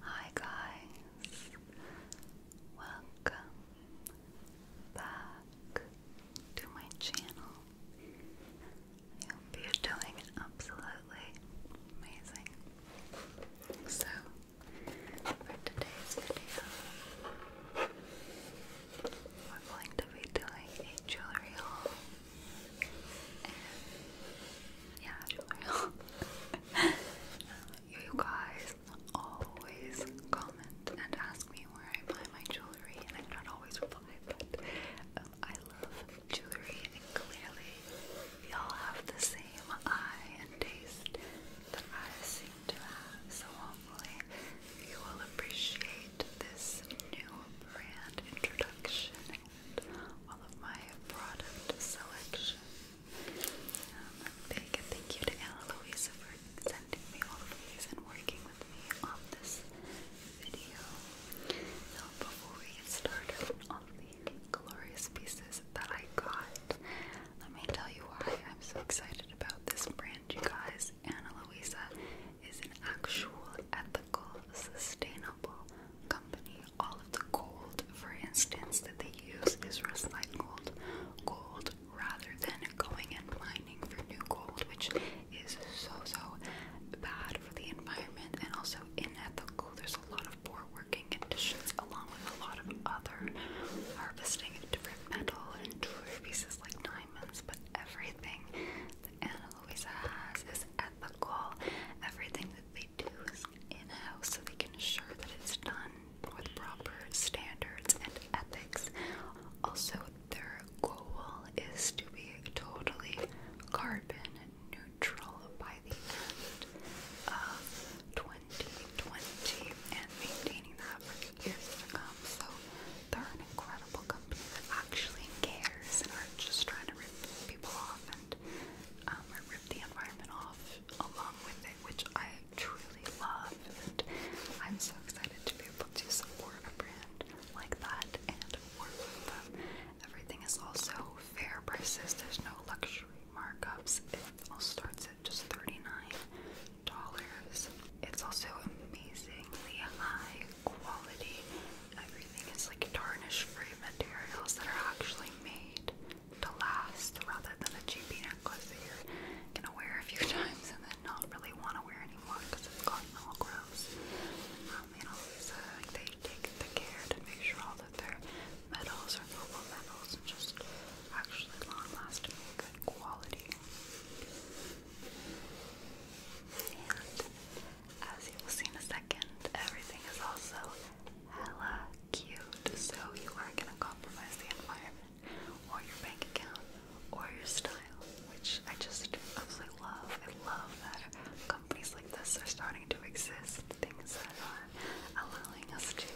Hi guys, welcome back to my channel. I hope you're doing absolutely amazing. So, for today's video, we're going to be doing a jewelry haul yeah, tutorial. you guys always comment and ask me where I buy my jewelry, and I don't always reply, but um, I love jewelry, and clearly y'all have the same eye and taste that I seem to have. So hopefully you will appreciate this new brand introduction all of my product selection. Um, big thank you to Anna Luisa for sending me all of these and working with me on this video. So before we get started on the glorious pieces that I got, let me tell you why I'm so excited about this brand, you guys. Anna Luisa is an actual ethical, sustainable company. All of the gold, for instance, that they use is recycled gold rather than going and mining for new gold, which is so, so bad for the environment and also unethical. There's a lot of poor working conditions along with a lot of other harvesting of different metal and jewelry pieces like diamonds, but everything that Anna Luisa has is ethical. Everything that they they do is in-house so they can ensure that it's done with proper standards and ethics. Also, their goal is to be totally carbon neutral by the end of 2020 and maintaining that for the years to come. So they're an incredible company that actually cares and aren't just trying to rip people off and and um, the environment off along with it, which I truly love. And I'm so excited to be able to support a brand like that and work with Everything is also fair prices. There's no luxury markups. It all starts at just thirty-nine dollars. It's also amazingly high quality Everything is like tarnish free materials that are actually made to last rather than a cheapy necklace that you're gonna wear a few times and then not really want to wear anymore because it's gotten all gross. Um, you know, so like they take the care to make sure all that their metals are noble metals and just actually long lasting, good quality. And as you will see in a second, everything is also hella cute. So you aren't gonna compromise the environment or your bank account or your style, which I just absolutely love. I love that companies like this are starting to exist. Things that are allowing us to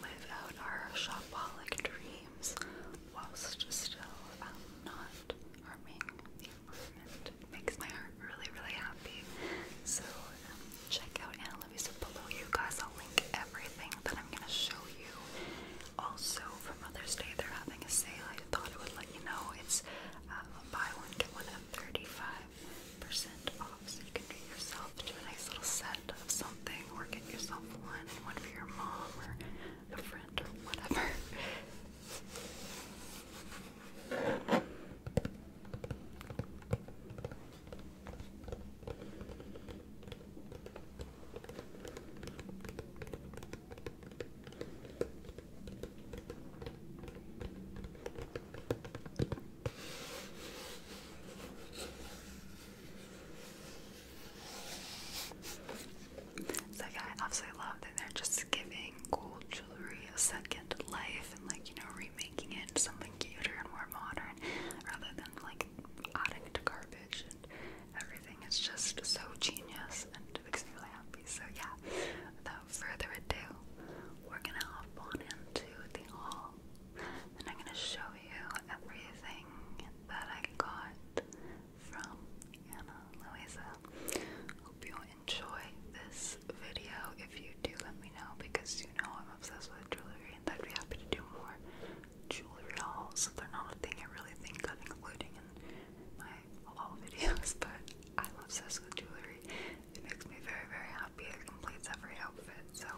live out our shopaholic dreams whilst still um, not harming the makes my heart really, really happy. So check out Anna Lovisa below you guys. I'll link everything that I'm gonna show you. Also for Mother's Day, they're having a sale. I thought I would let you know. It's uh, buy one get one at 35% off. So you can treat yourself to a nice little set of something, or get yourself one one for your mom or a friend or whatever. I absolutely love that they're just giving giving gold jewelry a second life and like you know remaking it into something cuter and more modern rather than like adding it to garbage and everything it's just so genius and it makes me really happy so yeah without further ado we're gonna hop on into the haul and I'm gonna show you everything that I got from Anna Luisa hope you enjoy this video. If you do, let me know because you know I'm obsessed with jewelry and I'd be happy to do more jewelry hauls. They're not a thing I really think of including in my haul videos, but I'm obsessed with jewelry. It makes me very, very happy. It completes every outfit. So,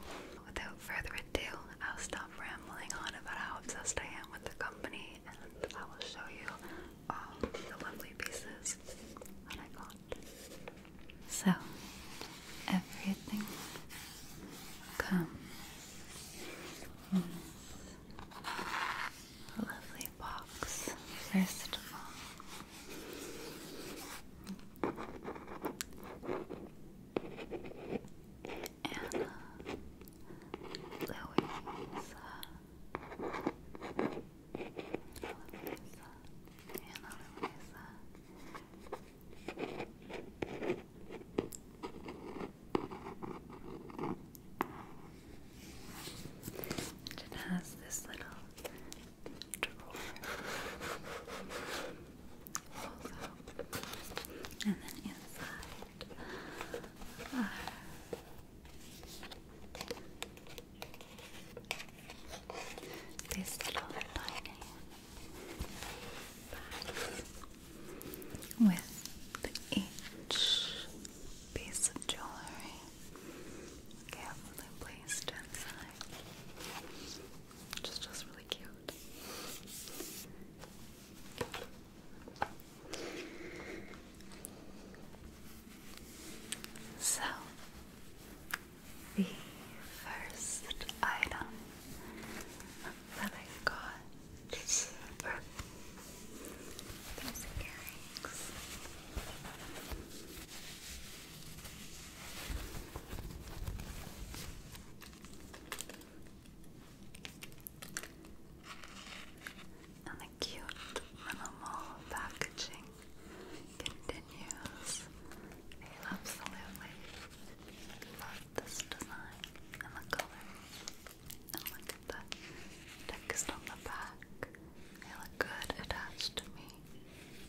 without further ado, I'll stop rambling on about how obsessed I am with the company and I will show you all the lovely pieces that I got. So, everything comes in this lovely box, first of all. Anna uh, Louisa Ana Luisa, and it has this little drawer and then inside this little tiny with each piece of jewelry carefully placed inside, which is really cute. So, the first item that I got are these earrings cute minimal packaging continues. I absolutely love this design and the color. And look at the text on the back. They look good attached to me.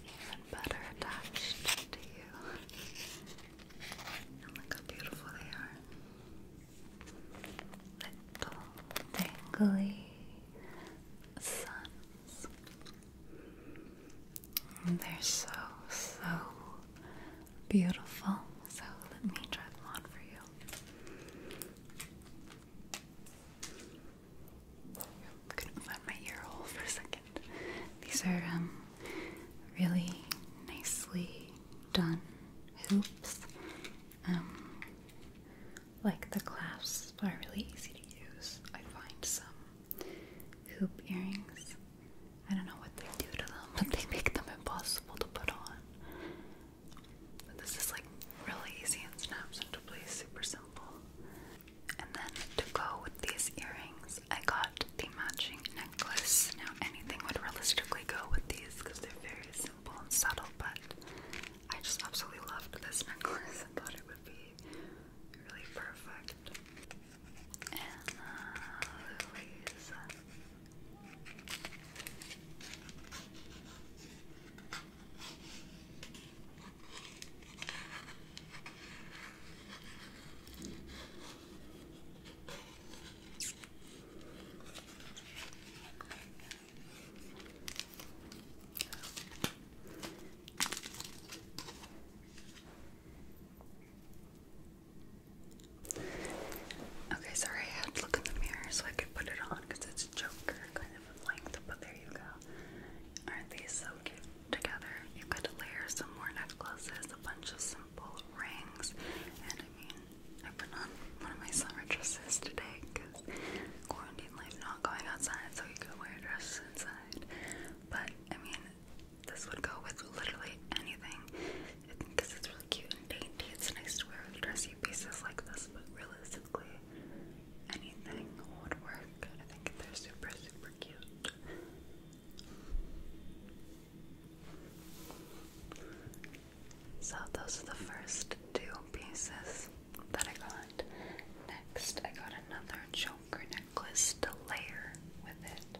Even better attached to you. And look how beautiful they are little dangly suns. they're so, so beautiful. So let me try them on for you. I couldn't my ear hole for a second. These are um, really nicely done hoops. Um, like the clasps are really easy to use. I find some hoop earrings. I don't know what they do to them, but they make them impossible to put on. But this is like really easy and snaps into place, super simple. And then to go with these earrings, I got the matching necklace. Now anything would realistically go with these because they're very similar simple and subtle, but I just absolutely loved this necklace and thought it would be really perfect. And uh, Louise. Okay, sorry, I had to look in the mirror so I could put it on because it's a joker kind of length, but there you go. Aren't these so cute together? You could layer some more necklaces, a bunch of simple rings, and I mean, I put on one of my summer dresses today because quarantine life not going outside, so you could wear a dress inside. But I mean, this would go with literally anything because it's really cute and dainty. It's nice to wear with dressy pieces like this, but realistically, anything would work. I think they're super, super cute. So those are the first two pieces that I got. Next, I got another Joker necklace to layer with it.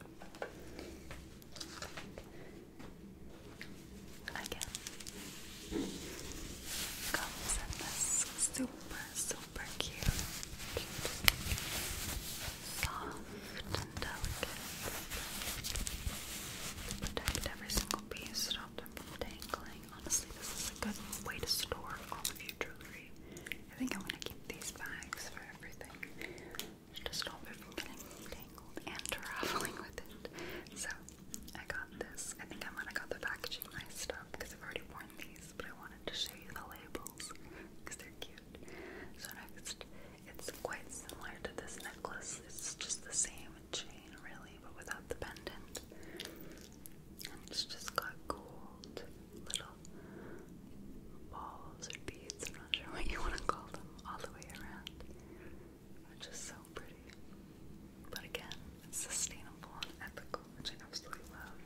Again, comes in this super, super cute, soft delicate. Protect every single single piece, from dangling. Honestly, this is a good way to store all of your jewelry. I think I'm gonna keep these bags for everything to stop it from getting tangled and traveling with it. So I got this. I think I might have got the packaging messed up because I've already worn these, but I wanted to show you the labels because they're cute. So next it's quite similar to this necklace. It's just the same chain, really, but without the pendant. And it's just got gold little balls or beads. I'm not sure what you want to call them, all the way around. Which is so pretty. But again, sustainable and ethical, which I absolutely love.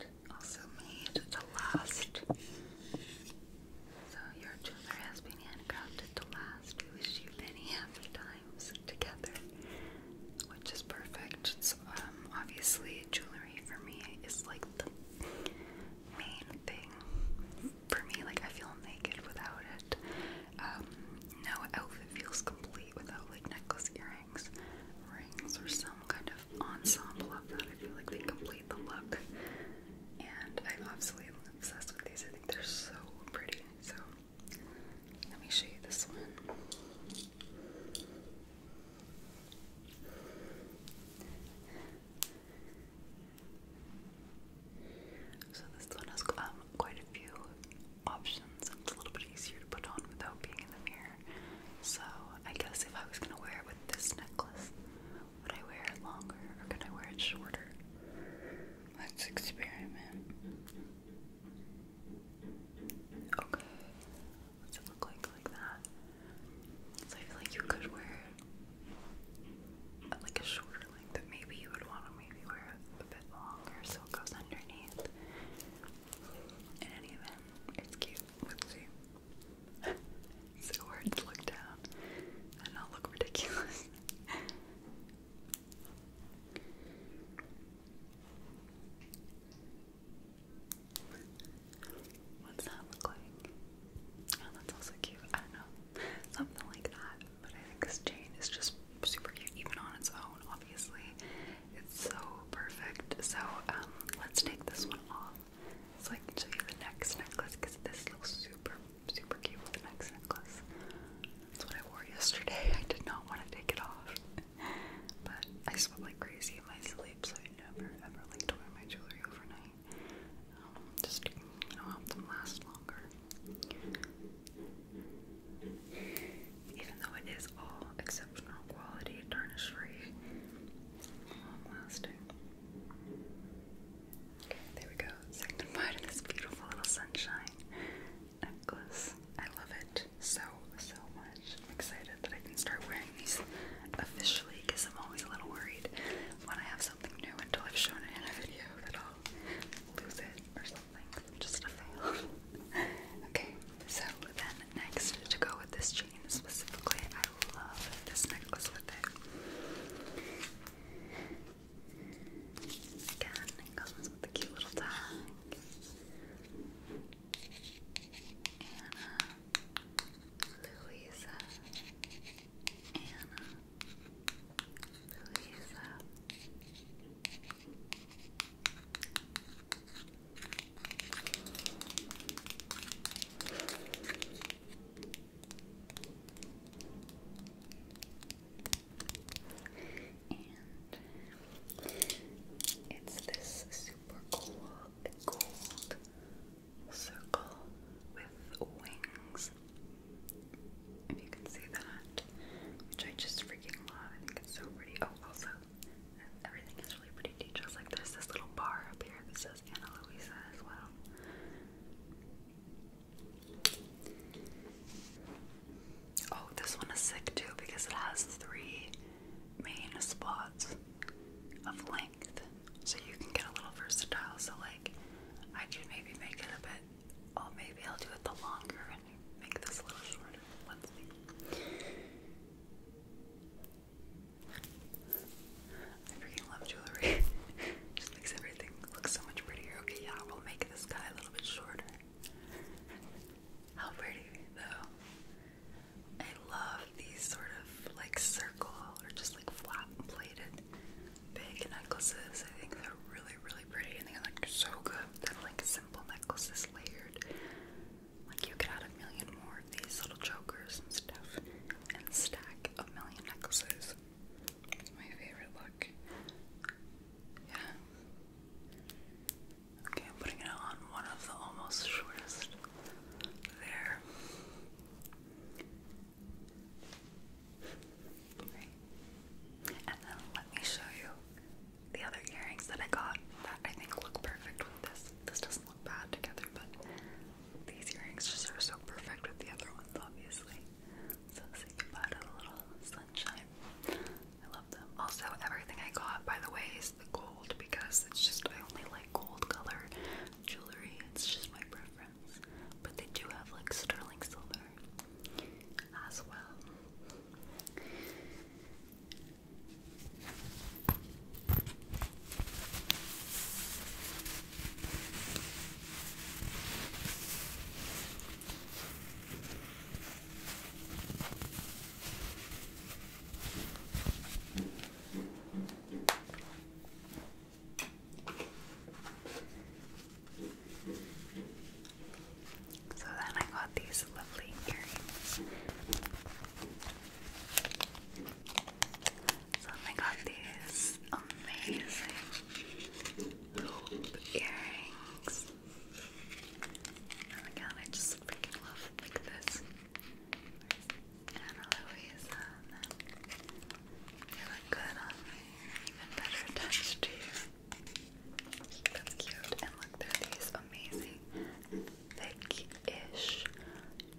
And also made to last so your jeweler has been handcrafted to last. We wish you many happy times together, which is perfect. Um, obviously jewelry for me is like the main thing for me. Like I feel naked without it. Um, no outfit feels complete without like necklace, earrings, rings, or some kind of ensemble of that. I feel like they complete the look and I'm absolutely obsessed with these. I think they're so pretty. So let me show you this one. So this one has um, quite a few options. It's a little bit easier to put on without being in the mirror. So I guess if I was gonna wear it with this necklace, would I wear it longer or could I wear it shorter? Let's experiment. Okay. What's it look like like that? So I feel like you could wear it like a shorter length, maybe you would want to maybe wear it a bit longer so it goes underneath. In any event, it's cute. Let's see so hard to look down and not look ridiculous. What's that look like? Oh, that's also cute. I don't know. Something like that. But I think this chain is just super cute, even on its own, obviously. It's so perfect. So, um, let's take this one off so I can show you the next necklace because this looks super, super cute with the next necklace. That's what I wore yesterday. I did not want to take it off. but I slept like crazy in my sleep, so I never ever like to wear my jewelry overnight. Um, just, you know, help them last longer. Even though it is all exceptional quality, tarnish free, long lasting. There we go, signified in this beautiful little sunshine necklace. I love it so, so much. I'm excited that I can start wearing these officially because I'm always a little worried when I have something new until I've shown it in a video that I'll lose it or something. just a fail. okay, so then next to go with this chain specifically, love this necklace with it. Again, it comes with a cute little tag. Anna, Louisa, Anna, Louisa it's this super cool gold circle with wings. If you can see that, which I just freaking love. I think it's so pretty. Oh, also, everything is really pretty details. Like there's this little bar up here Oh, this one is sick too because it has three main spots of length. So you can get a little versatile. So, like, I could maybe make it a bit, oh, maybe I'll do it the longer and make this a little shorter. I freaking love jewelry. just makes everything look so much prettier. Okay, yeah, we'll make this guy a little bit shorter. How pretty, though. I love these sort of like circle or just like flat plated big necklaces. I think they're really, really pretty and they're like so good. They're like simple necklaces layered. Like you could add a million more of these little chokers and stuff and stack a million necklaces. my favorite look. Yeah. Okay, I'm putting it on one of the almost shortest. There. And then let me show you the other earrings that I got that I think look perfect with this. This doesn't look bad together, but these earrings just are so perfect with the other ones, obviously. So say goodbye to the little sunshine. I love them. Also, everything I got, by the way, is the gold because it's just I only like gold color jewelry. It's just my preference. But they do have like sterling silver as well. So then I got these lovely earrings. So I oh got these amazing hoop earrings. Oh my I just freaking love like this. Anna Louisa, and then they look good on me. Even better attached to you. That's cute. And look, they're these amazing thick-ish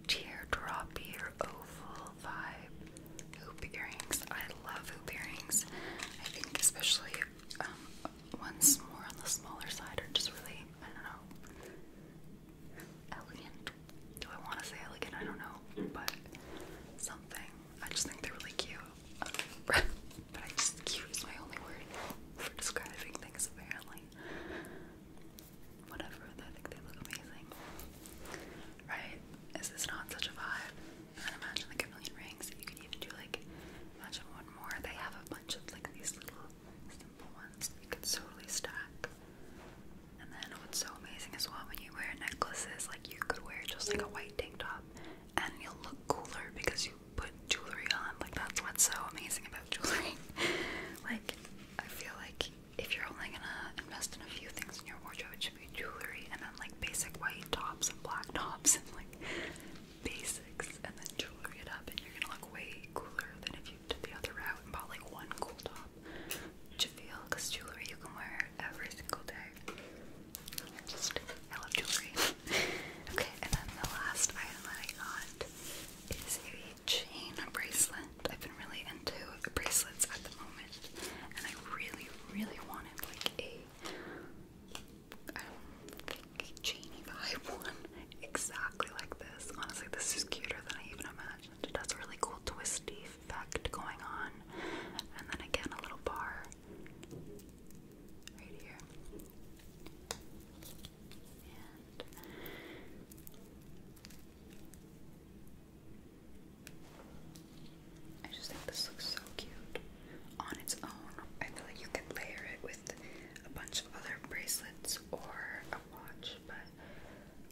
teardrop or oval vibe hoop earrings. I love hoop earrings. I think especially um, ones more on the smaller side are just really, I don't know, elegant. Do I want to say elegant? I don't know, but something. I just think they're really cute. but I just, cute is my only word for describing things apparently whatever. I think they look amazing. Right? Is this not such a vibe? And then imagine like a million rings. You can even do like imagine one more. They have a bunch of like these little simple ones you could totally stack. And then what's so amazing as well when you wear necklaces, like you could wear just like a white tank top and you'll look cooler because you put jewelry on. Like that's what's so amazing about jewelry. like I feel like if you're only gonna invest in a few things in your wardrobe, it should be jewelry and then like basic white tops and black tops and like basics and then jewelry it up and you're gonna look way cooler than if you did the other route and bought like one cool top. Do you feel? Because jewelry you can wear every single day. just, I love jewelry. okay, and then the last item I got is a chain bracelet. I've been really into bracelets at the moment, and I really, really wanted like a I don't think chainy vibe one exactly like this. Honestly, this is cuter than I even imagined. It has a really cool twisty effect going on, and then again a little bar right here. I just think this looks so cute on its own. I feel like you could layer it with a bunch of other bracelets or a watch, but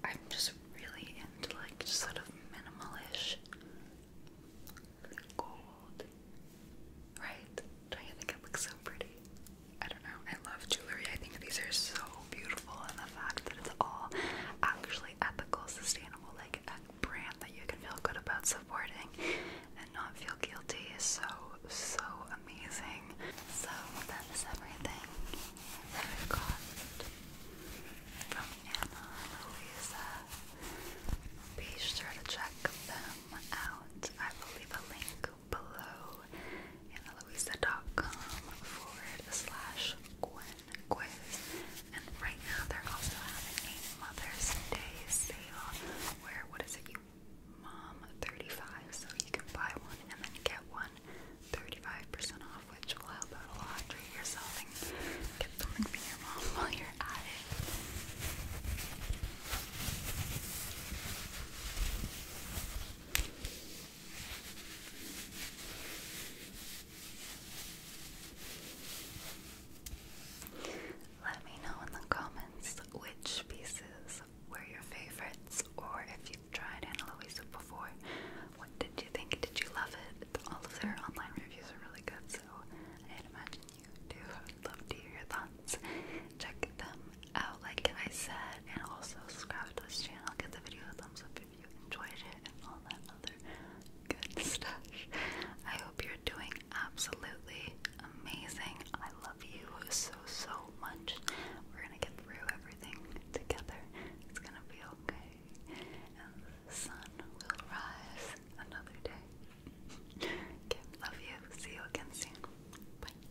I'm just really into like just sort of minimalish gold. Right? Don't you think it looks so pretty? I don't know. I love jewelry. I think these are so beautiful, and the fact that it's all actually ethical, sustainable, like a brand that you can feel good about supporting and not feel guilty is so so amazing. So that is everything that I got from Anna and Lisa. Be sure to check them out. I will leave a link below annaloisa.com forward slash Gwen quiz. And right now they're also having a Mother's Day sale where, what is it, you mom 35, so you can buy one and then get one 35% off, which will help out a lot. Treat yourself and get something for your mom while you're at it. Let me know in the comments which pieces were your favorites, or if you've tried Ana Luisa before, what did you think? Did you love it? All of their online reviews are really good, so I'd imagine you do. would love to hear your thoughts. Check them out like I said and also subscribe to this channel, give the video a thumbs up if you enjoyed it and all that other good stuff. I hope you're doing absolutely amazing. I love you so so much. We're gonna get through everything together. It's gonna be okay. And the sun will rise another day. love you. See you again soon. Bye.